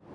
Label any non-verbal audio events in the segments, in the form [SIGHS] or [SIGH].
Hi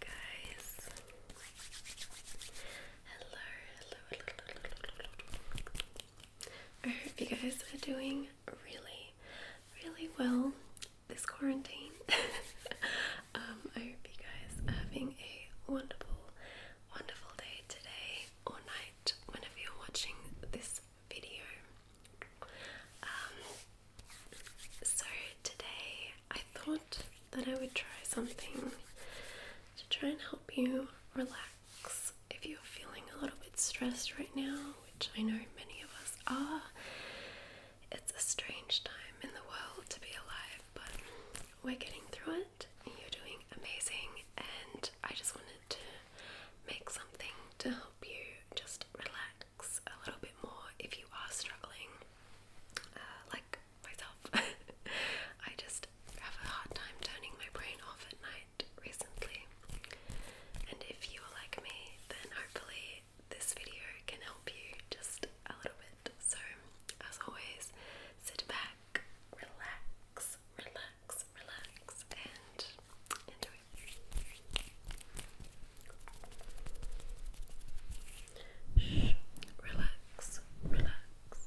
guys. Hello, hello, I hope you guys are doing really really well this quarantine. [LAUGHS] Um, I hope you guys are having a wonderful, wonderful day today or night whenever you're watching this video. Um, so, today I thought that I would try something to try and help you relax if you're feeling a little bit stressed right now, which I know many of us are, it's a strange time in the world to be alive, but we're getting through it. You're doing amazing, and I just wanted to make something to help you just relax a little bit more if you are struggling, uh, like myself. [LAUGHS] I just have a hard time turning my brain off at night recently. And if you are like me, then hopefully this video can help you just a little bit. So, as always, sit back, relax, relax, relax, and enjoy. Shh. Relax, relax,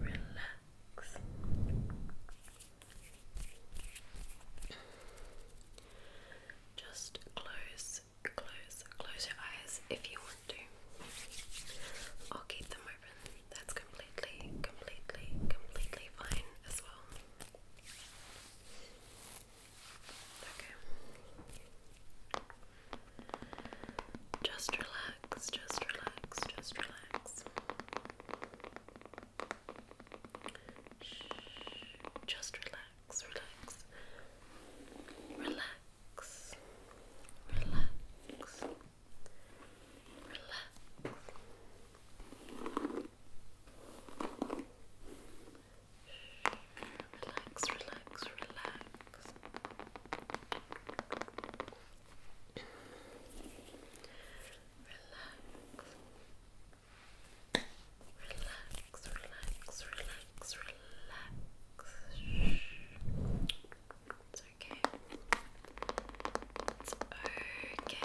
relax. Just close, close, close your eyes if you want to. I'll keep them open. That's completely, completely, completely fine as well. Okay. Just relax, just relax, just relax. Shh. Just relax, relax, relax, relax, relax. Relax, relax, relax relax, relax, relax, relax. It's okay. It's okay. Shh. Shh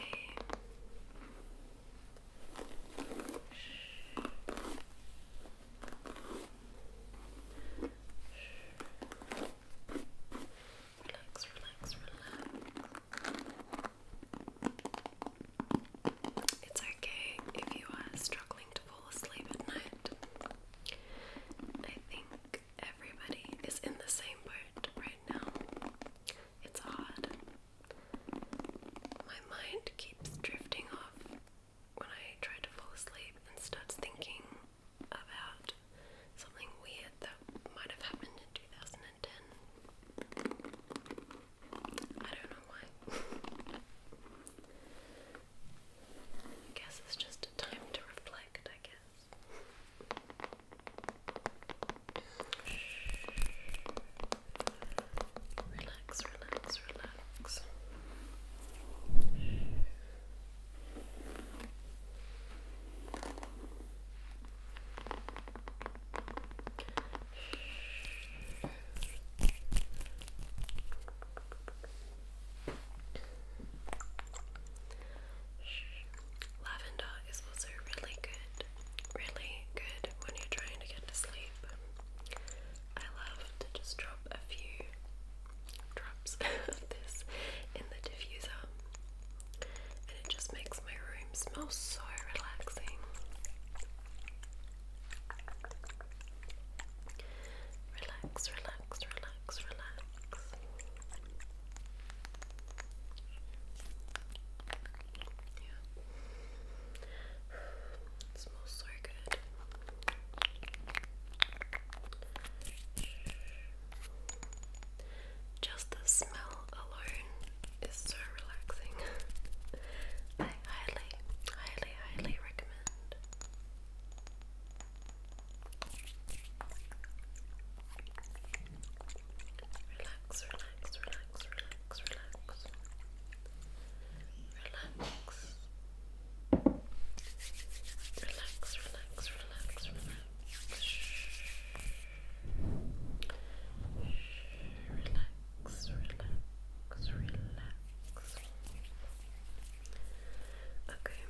relax, relax, relax. It's okay if you are struggling to fall asleep at night. I think everybody is in the same boat right now. It's hard. My mind keeps drifting off when I try to fall asleep and starts thinking about something weird that might have happened in 2010. I don't know why. [LAUGHS] I guess it's just a time to reflect, I guess. Relax, relax, relax. Lavender is also really good, really good when you're trying to get to sleep. I love to just drop a few drops [LAUGHS] of this in the diffuser, and it just makes my room smell so relaxing. Relax, relax, relax, relax. Yeah. [SIGHS] smells so good. Just the smell alone is so relaxing. [LAUGHS] I highly, highly, highly recommend. Relax, relax, relax, relax, relax. Relax. Relax, relax, relax, relax. Shh. Relax, relax, relax. Okay.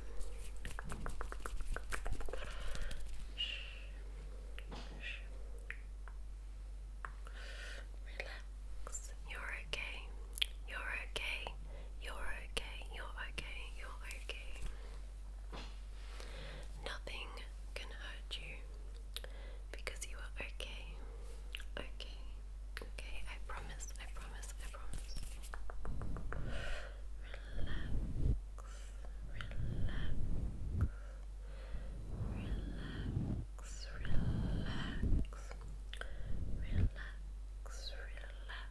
Shh. Shh. Relax. You're okay. You're okay. You're okay. You're okay. You're okay. Nothing can hurt you because you are okay. Okay. Okay. I promise. I promise. I promise. Relax. Relax. Relax, relax, relax, relax,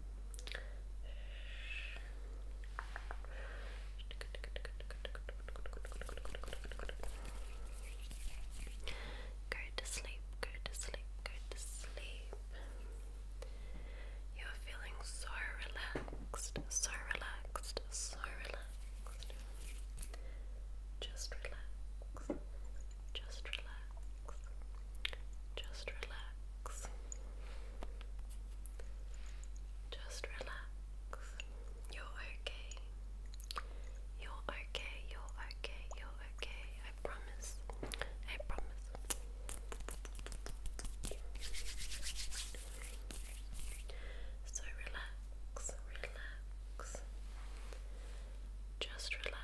Go to sleep, go to sleep, go to sleep. You're feeling so relaxed, so relaxed, so relaxed. Just relax, just relax. Just relax. Just relax. You're okay. You're okay. You're okay. You're okay. I promise. I promise. So relax. Relax. Just relax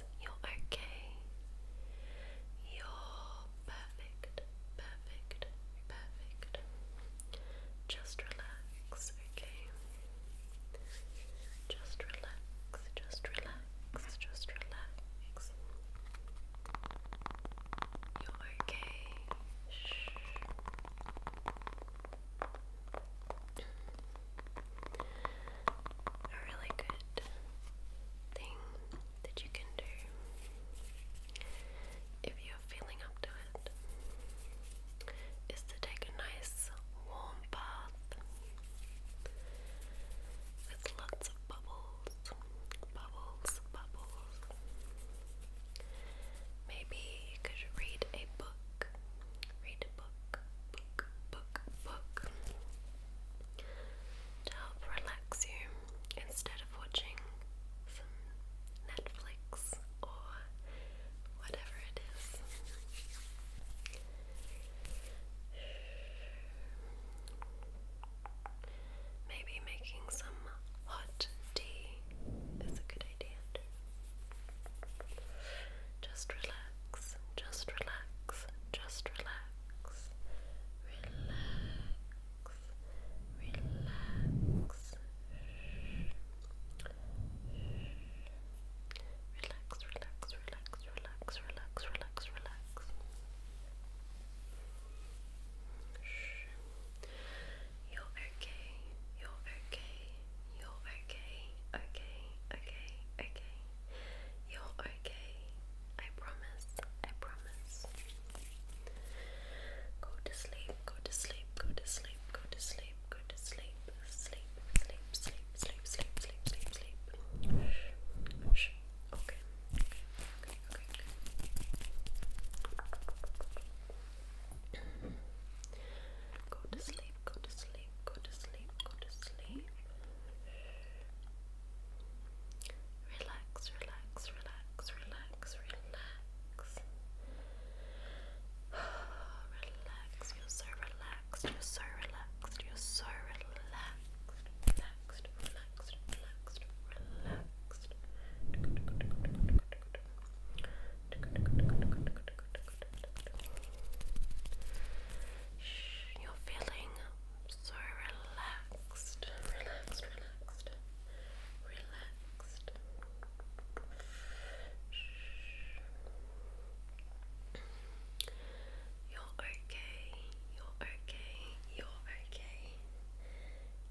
You're okay. You're perfect, perfect, perfect. Just relax, okay? Just relax, just relax, just relax. You're okay. Shh a really good thing that you can do if you're feeling up to it is to take a nice warm bath with lots of bubbles, bubbles, bubbles. Maybe you could read a book, read a book, book, book, book to help relax you instead of watching some Netflix or whatever it is. Maybe making some hot tea is a good idea too. Just relax, just relax, just relax. Relax, relax. Relax, relax, relax, relax, relax, relax, relax. You're okay, you're okay, you're okay, okay, okay, okay. You're okay. I promise, I promise. Go to sleep, go to sleep, go to sleep, go to sleep, go to sleep, sleep, sleep, sleep, sleep, sleep, sleep, sleep, sleep. Shh. Okay. Okay. Okay. Okay. okay. Go to sleep, go to sleep go to sleep, go to sleep. Relax, relax, relax, relax, relax. [SIGHS] relax, you're so relaxed, you're so relaxed, you're so relaxed. Relaxed, relaxed, relaxed, relaxed you're feeling so relaxed, relaxed, relaxed, relaxed. You're okay, you're okay, you're okay,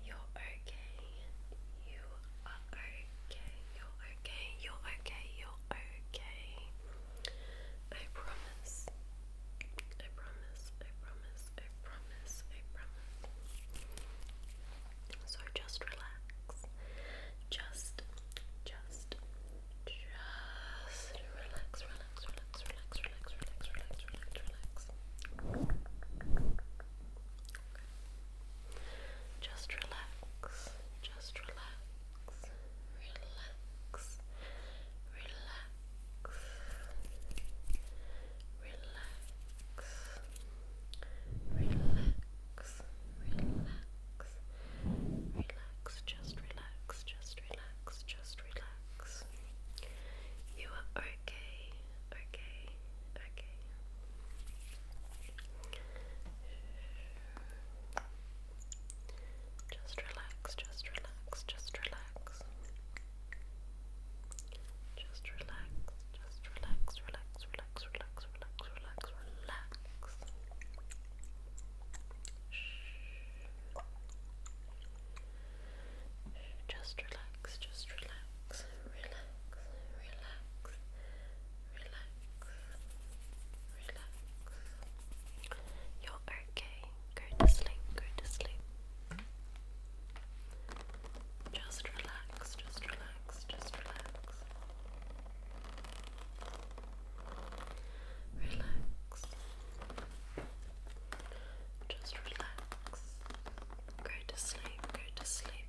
you're okay, you are okay. You're okay. You're okay. You're okay. I promise. I promise. I promise. I promise. I promise. So just relax. Just, just, just relax. Relax. Relax. Relax. Relax. Relax. Relax. Relax. Relax. Okay. Just relax, just relax, relax, relax, relax, relax, relax, relax, just relax, just relax, just relax. You are okay. Okay, okay. Just relax, just relax, just relax. Just relax, just relax, relax, relax, relax, relax, relax, relax. Shh. Just relax, just relax relax, relax, relax, relax. You're okay. Go to sleep, go to sleep. Just relax, just relax, just relax. Relax. Just relax. Go to sleep, go to sleep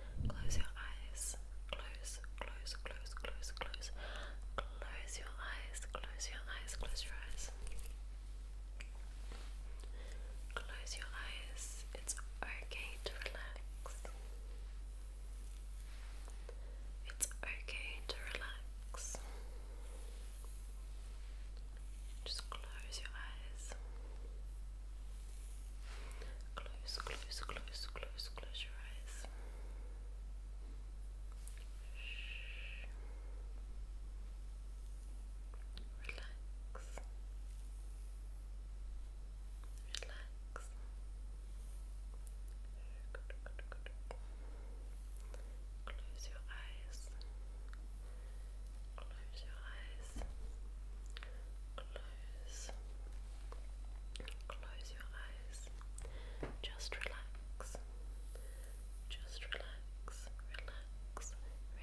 Close your eyes. Close, close, close, close, close. Close your eyes. Close your eyes. Close your eyes. Close your eyes. It's okay to relax. It's okay to relax. Just close your eyes. Close, close, close, close, close your eyes. Shh. Relax. Relax. Good, good, good. Close your eyes. Close your eyes. Close nose. Close your eyes. Just relax. Just relax. Relax.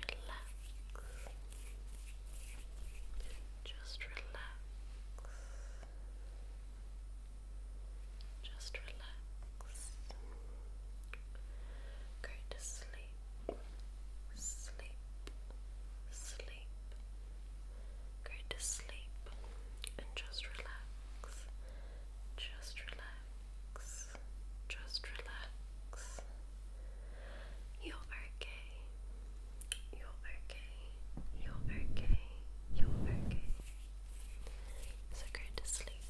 Relax. Just relax. Just relax. Go to sleep. Sleep. Sleep. Go to sleep and just relax. Just relax. Just relax. You're okay. You're okay. You're okay. You're okay. So go to sleep.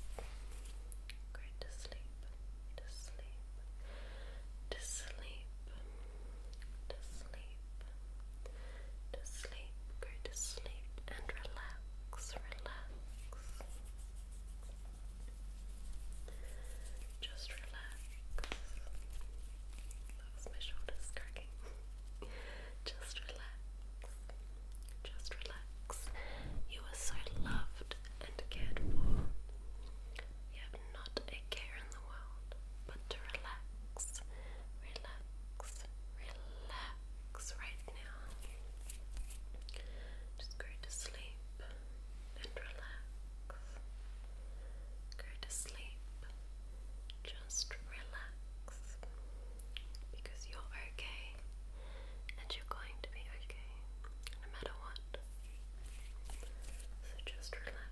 Go to sleep. To sleep. To sleep to sleep, to sleep, go to sleep and relax, relax. Just relax. That was my shoulders cracking. Just relax. Just relax. You are so loved and cared for. Yep, not a care in the world but to relax, relax, relax right now. Just go to sleep and relax. Go to sleep, just relax because you're okay and you're going to be okay no matter what. So just relax.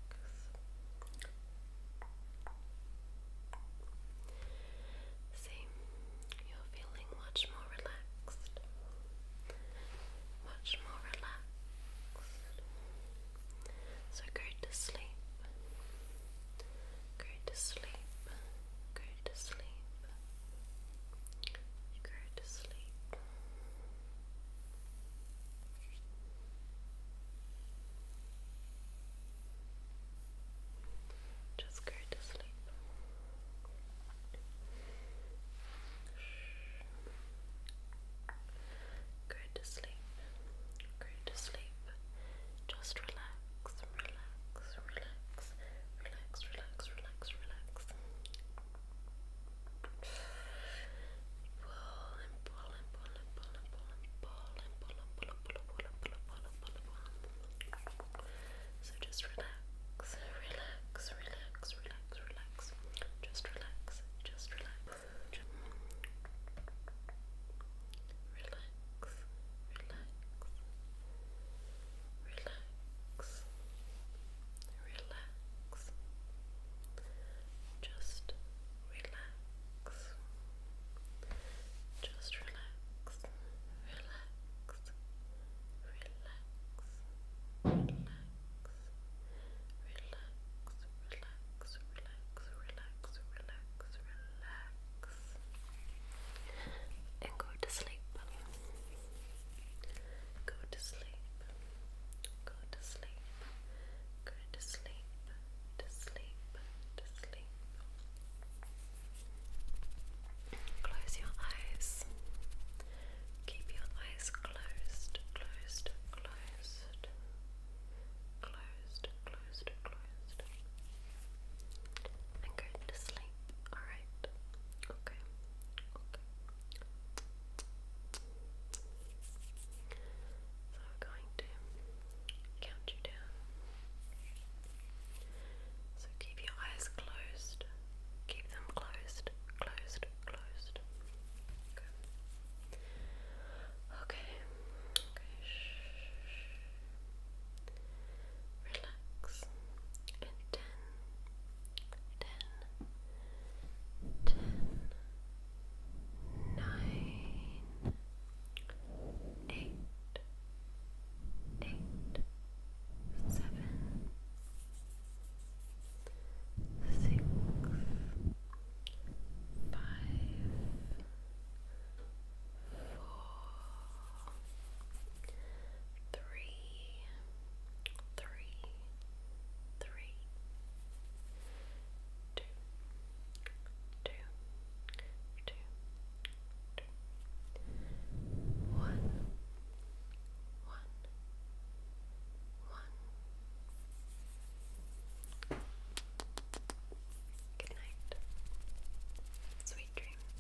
See, you're feeling much more relaxed, much more relaxed. So go to sleep, go to sleep, go to sleep, go to sleep. to sleep. Just go to sleep. Go to sleep. Go to sleep. Just relax, relax, relax, relax, relax, relax, relax. So just relax, relax, relax, relax, relax. Just relax, just relax. Just relax, relax, relax, relax, just relax, just relax, relax, relax, relax. Relax, relax, relax, relax, relax, relax, and go to sleep. Go to sleep. Go to sleep. Go to sleep. To sleep. To sleep. Close your eyes. Keep your eyes closed. Closed. Closed. Closed. Closed. Closed. And go to sleep. Alright. Okay. Okay. Okay. So I'm going to count you down. So keep your eyes closed. Keep them closed, closed, closed. Good. Okay. Okay. Relax. ten, ten, ten, nine, eight, eight, seven, six, five, four, three, three, three, two, two, two, two, one, one, one. Good night. Sweet dreams.